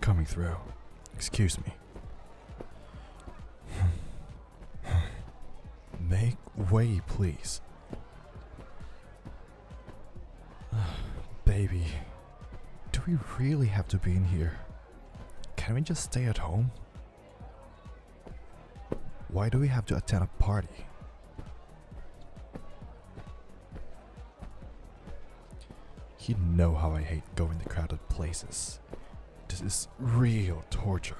Coming through. Excuse me. Make way, please. Baby, do we really have to be in here? Can we just stay at home? Why do we have to attend a party? You know how I hate going to crowded places. This is real torture.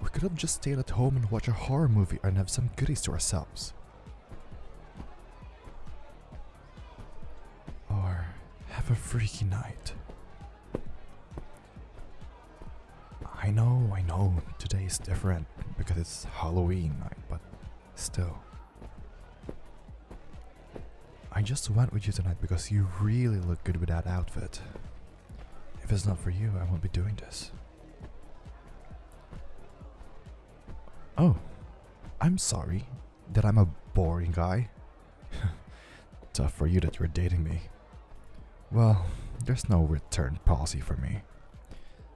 We could have just stayed at home and watched a horror movie and have some goodies to ourselves. Or have a freaky night. I know, I know, today is different because it's Halloween night, but Still, I just went with you tonight because you really look good with that outfit. If it's not for you, I won't be doing this. Oh, I'm sorry that I'm a boring guy. Tough for you that you're dating me. Well, there's no return policy for me.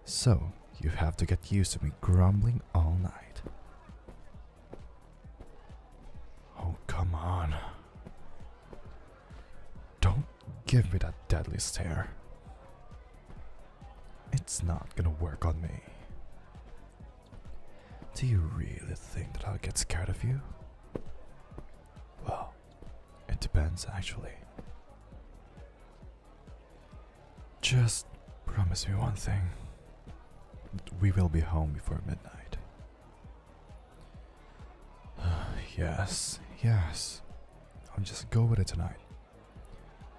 So, you have to get used to me grumbling all night. Oh, come on. Don't give me that deadly stare. It's not gonna work on me. Do you really think that I'll get scared of you? Well, it depends actually. Just promise me one thing. We will be home before midnight. yes, yes. I'll just go with it tonight.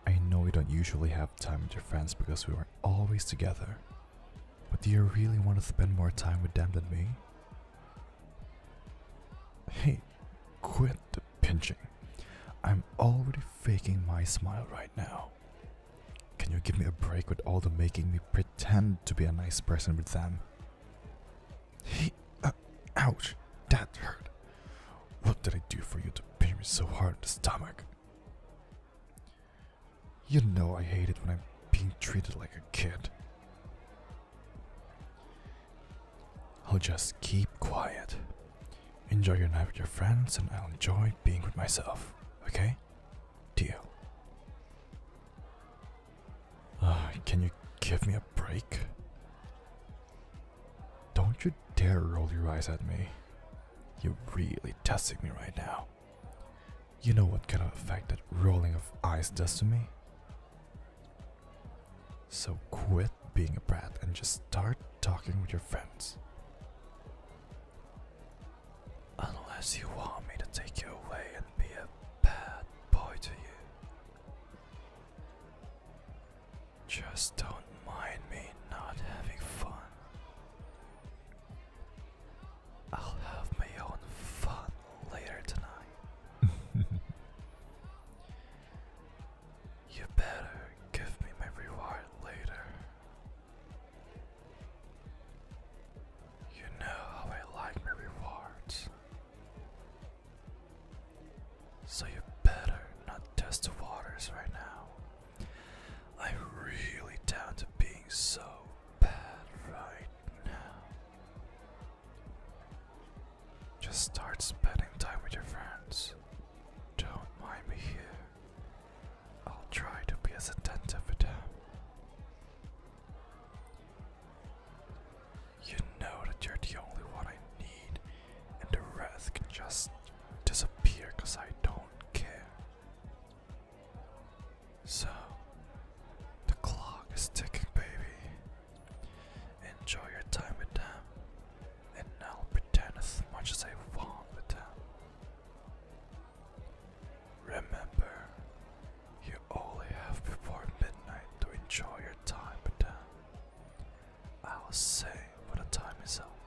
I know we don't usually have time with your friends because we were always together. But do you really want to spend more time with them than me? Hey, quit pinching. I'm already faking my smile right now. Can you give me a break with all the making me pretend to be a nice person with them? He. Uh, ouch! That hurt. What did I do for you to pinch me so hard in the stomach? You know I hate it when I'm being treated like a kid. I'll oh, just keep quiet. Enjoy your night with your friends, and I'll enjoy being with myself. Okay? Deal. can you give me a break? Don't you dare roll your eyes at me. You're really testing me right now. You know what kind of effect that rolling of eyes does to me? So quit being a brat and just start talking with your friends. Unless you want me to take you away and be a bad boy to you. Just don't mind me not having fun. I'll have my own fun later tonight. You better give me my reward later. You know how I like my rewards. So you better not test the waters right now. I'm really down to being so bad right now. Just start spending time with your friends. Don't mind me here. I'll try to be as attentive with them. You know that you're the only one I need, and the rest can just disappear because I don't care. So, the clock is ticking, baby. Enjoy your time with them and I'll pretend as much as I want with them. Remember, you only have before midnight to enjoy your time with them. I'll say what the time is up,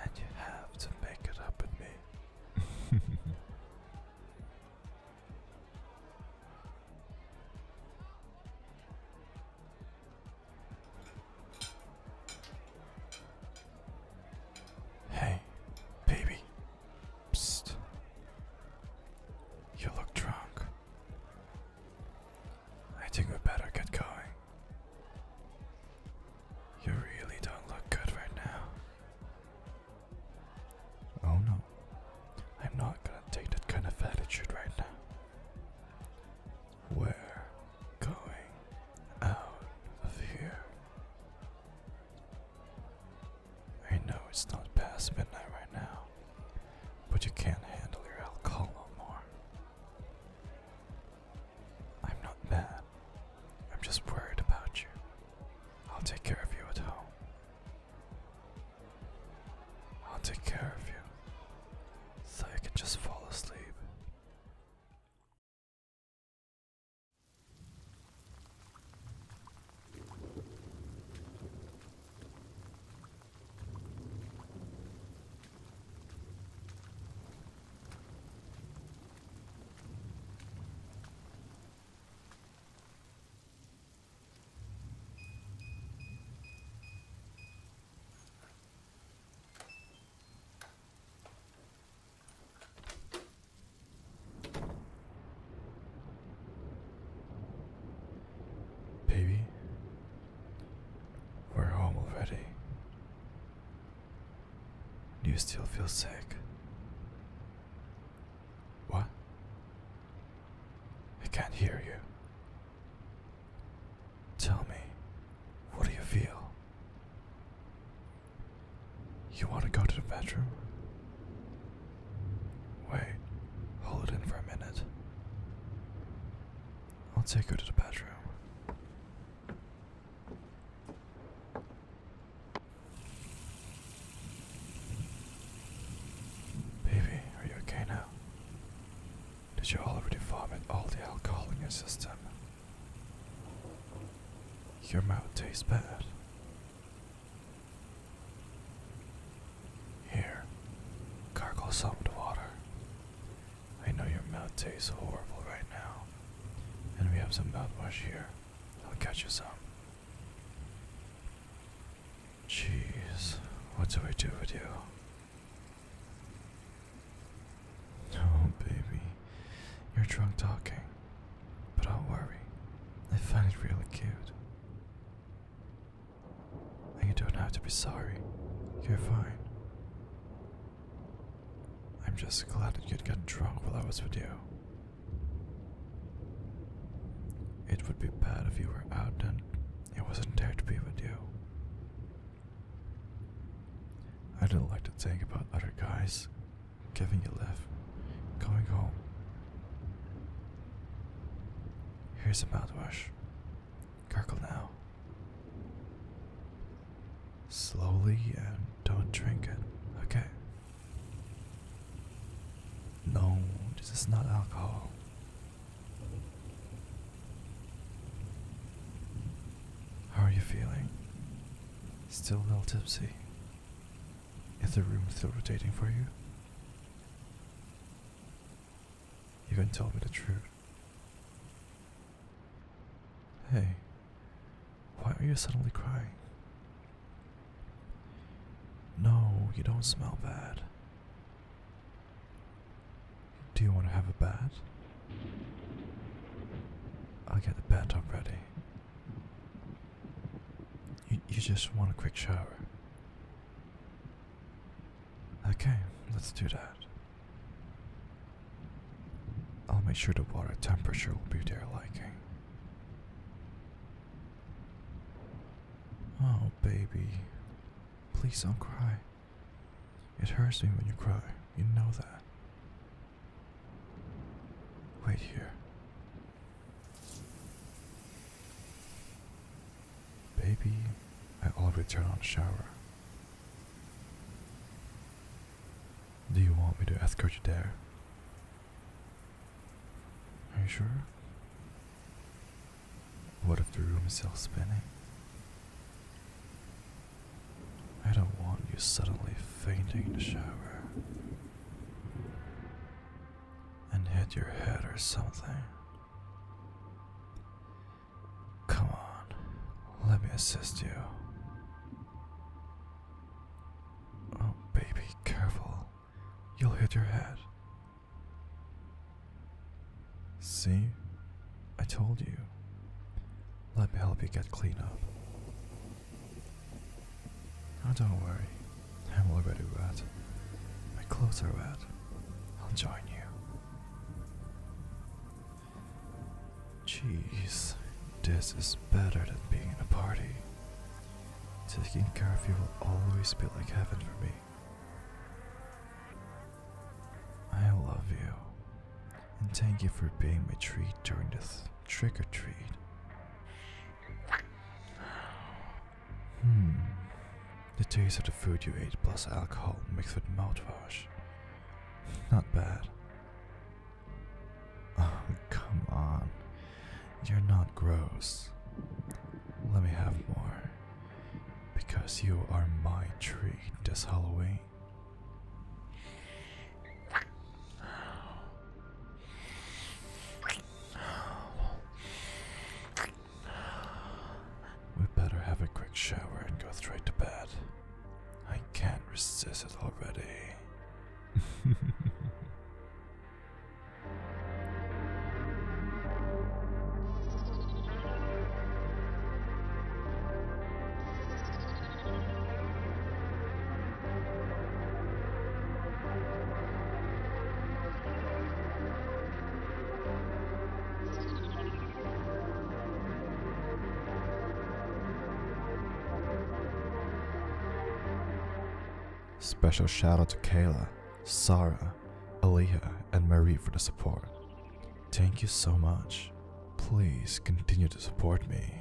and you have to make it up with me. Hey, baby. Psst. You look drunk. I think we better get going. You really don't look good right now. Oh no. I'm not gonna take that kind of attitude right now. We're going out of here. I know it's not past midnight right now, but you can't handle your alcohol anymore. I'm not mad. I'm just worried about you. I'll take care of you at home. I'll take care of you so you can just fall asleep. Baby, we're home already. Do you still feel sick? What? I can't hear you. Tell me, what do you feel? You want to go to the bedroom? Wait, hold it in for a minute. I'll take you to the bedroom. Baby, are you okay now? Did you already vomit all the alcohol in your system? Your mouth tastes bad. Here, gargle some with water. I know your mouth tastes horrible right now. And we have some mouthwash here. I'll catch you some. Jeez, what do we do with you? Oh, baby, you're drunk talking, but I don't worry, I find it really cute. And you don't have to be sorry, you're fine. I'm just glad that you'd get drunk while I was with you. It would be bad if you were outdone. It wasn't there to be with you. I didn't like to think about other guys giving you life, coming home. Here's a mouthwash. Gargle now. Slowly and don't drink it, okay? No, this is not alcohol. How are you feeling? Still a little tipsy? Is the room still rotating for you? You can tell me the truth. Hey, why are you suddenly crying? No, you don't smell bad. Do you want to have a bath? I'll get the bat up ready. You, you just want a quick shower. Okay, let's do that. I'll make sure the water temperature will be to your liking. Oh, baby, Please don't cry. It hurts me when you cry, you know that. Wait here. Baby, I already turned on shower. Do you want me to escort you there? Are you sure? What if the room is still spinning? I don't want you suddenly fainting in the shower and hit your head or something. Come on, let me assist you. Oh, baby, careful. You'll hit your head. See? I told you. Let me help you get clean up. Now don't worry. I'm already wet. My clothes are wet. I'll join you. Jeez, this is better than being in a party. Taking care of you will always be like heaven for me. I love you, and thank you for being my treat during this trick or treat. Hmm. The taste of the food you ate plus alcohol mixed with mouthwash. Not bad. Oh, come on. You're not gross. Let me have more. Because you are my treat this Halloween. We better have a quick shower and go straight to bed. I can't resist it already. Special shout out to Kayla, Sarah, Aleha, and Marie for the support. Thank you so much. Please continue to support me.